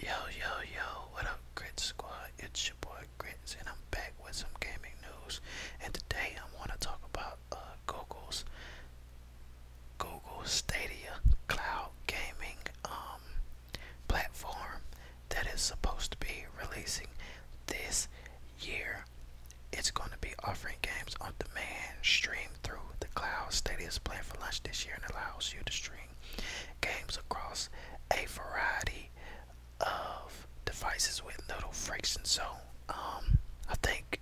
Yo, yo, yo, what up, Grit Squad? It's your boy Grits, and I'm back with some gaming news. And today I want to talk about uh, Google's Google Stadia cloud gaming um, platform that is supposed to be releasing this year it's going to be offering games on demand streamed through the cloud. Stadia's plan for lunch this year and allows you to stream games across a variety of devices with little friction. So, um, I think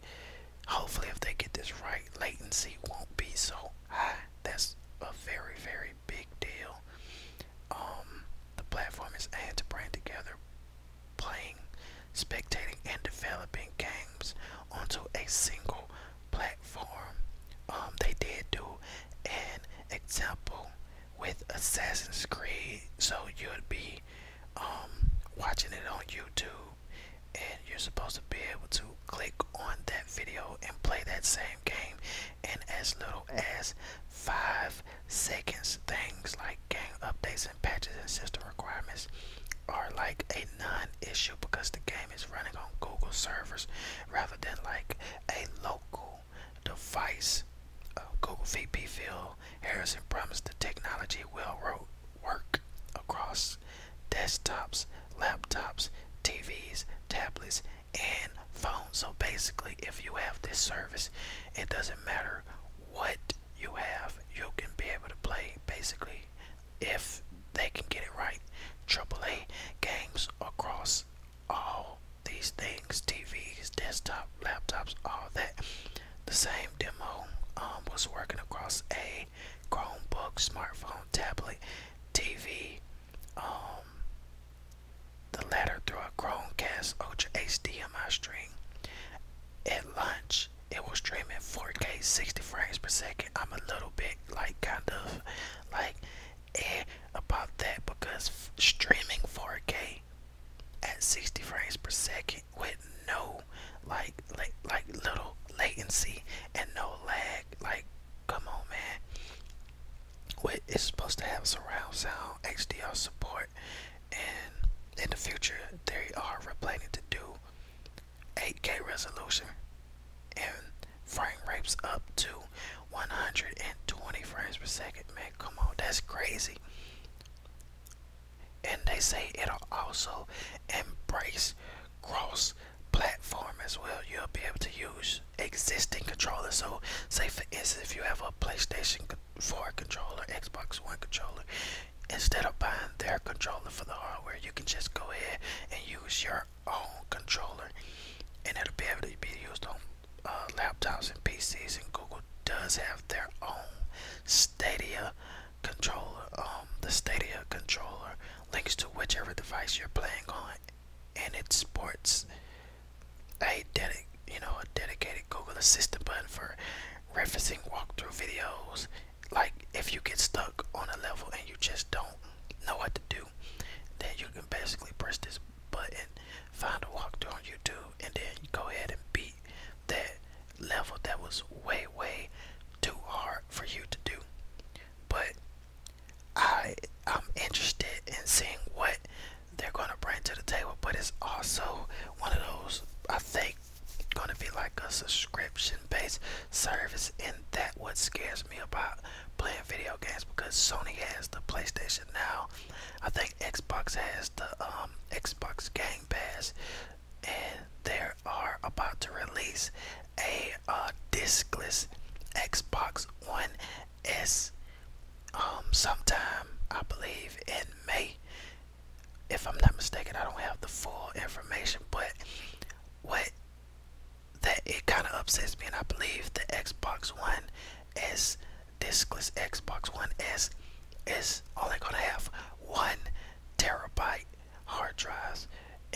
hopefully if they get this right, latency won't be so high. That's a very, very big deal. Um, the platform is aimed to bring together playing, spectating, and developing games onto a single platform. Um, they did do an example with Assassin's Creed, so you'd be um, watching it on YouTube, and you're supposed to be able to click on that video and play that same game in as little as five Seconds, things like game updates and patches and system requirements are like a non-issue because the game is running on Google servers rather than like a local device. Uh, Google VP Phil Harrison promised the technology will ro work across desktops, laptops, TVs, tablets, and phones. So basically, if you have this service, it doesn't matter what you have, you can be able to play basically if they can get it right. Triple A games across all these things TVs, desktop, laptops, all that. The same demo um, was working across a Chromebook, smartphone, tablet, TV, um, the latter through a Chromecast Ultra HDMI stream. At lunch, it will stream in 4K 60 frames per second. I'm a little bit like kind of like eh about that because streaming 4K at 60 frames per second with no like like like little latency and no lag like come on man with it's supposed to have surround sound HDR support and in the future they are planning to do 8K resolution and frame rates up to 120 frames per second. Man, come on, that's crazy. And they say it'll also embrace cross platform as well. You'll be able to use existing controllers. So, say for instance, if you have a PlayStation for controller, Xbox One controller, instead of buying their controller for the hardware, you can just go ahead and use your own controller, and it'll be able to be used on uh, laptops and PCs. And Google does have their own Stadia controller, um, the Stadia controller links to whichever device you're playing on and it sports a dedic you know a dedicated Google Assistant button for referencing walkthrough videos. Like if you get stuck on a level and you just don't know what to do, then you can basically press this button, find a walkthrough on YouTube, and then go ahead and beat that level that was way way too hard for you to do. But I am interested in seeing what they're gonna bring to the table, but it's also one of those I think gonna be like a subscription based service and that what scares me about playing video games because Sony has the PlayStation now. I think Xbox has the um, Xbox Game Pass and they are about to release a uh, discless Xbox One is um sometime I believe in May. If I'm not mistaken, I don't have the full information, but what that it kind of upsets me, and I believe the Xbox One S, discless Xbox One S, is only gonna have one terabyte hard drives,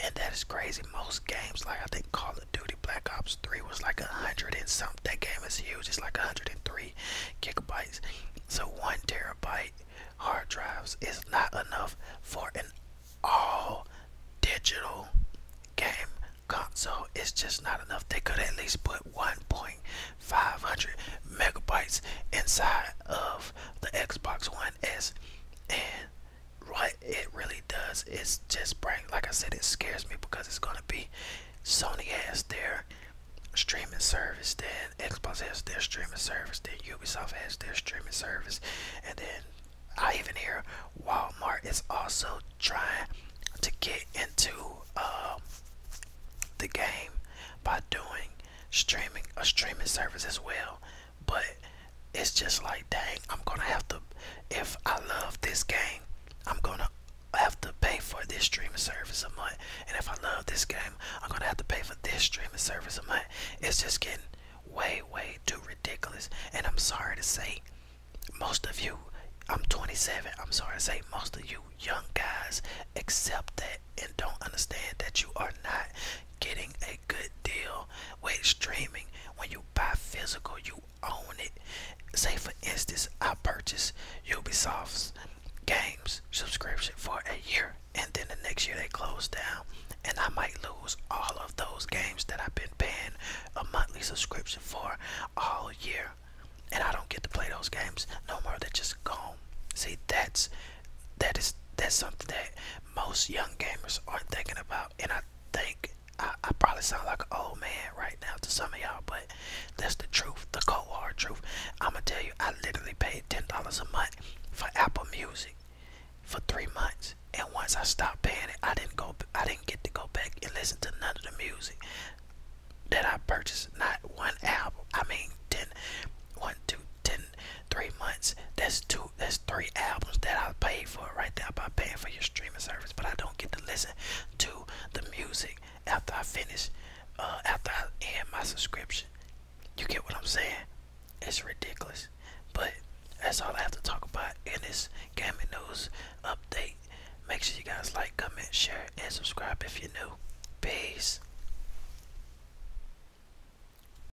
and that is crazy. Most games, like I think Call of Duty Black Ops 3 was like a hundred and something. That game is huge. It's like 103 gigabytes. So one terabyte hard drives is not enough for an all digital game console. It's just not enough. They could at least put one point five hundred megabytes inside of the Xbox One S and what it really does is just bring like I said it scares me because it's gonna be Sony has their streaming service, then Xbox has their streaming service, then Ubisoft has their streaming service, and then I even hear Walmart is also trying to get into uh, the game by doing streaming a streaming service as well. But it's just like, dang, I'm gonna have to. If I love this game, I'm gonna have to pay for this streaming service a month. And if I love this game, I'm gonna have to pay for this streaming service a month. It's just getting way, way too ridiculous. And I'm sorry to say, most of you, I'm 27. I'm sorry to say, most of you young guys accept that and don't understand that you are not getting a good deal with streaming. When you buy physical, you own it. Say, for instance, I purchased Ubisoft's games subscription for a year, and then the next year they close down, and I might lose all of those games that I've been paying a monthly subscription for all year, and I don't get to play those games no more. They're just gone. See, that's that is that's something that most young gamers aren't thinking about and I think I, I probably sound like an old man right now to some of y'all, but that's the truth, the cold hard truth. I'm gonna tell you, I literally paid ten dollars a month for Apple Music for three months, and once I stopped paying it, I didn't go, I didn't get to go back and listen to none of the music that I purchased. Not one album. I mean, ten, one, two, ten, three months. That's two that's three albums that I paid for right there by paying for your streaming service, but I don't get to listen to the music after I finish, uh, after I end my subscription. You get what I'm saying? It's ridiculous, but that's all I have to talk about in this gaming news update. Make sure you guys like, comment, share, and subscribe if you're new. Peace.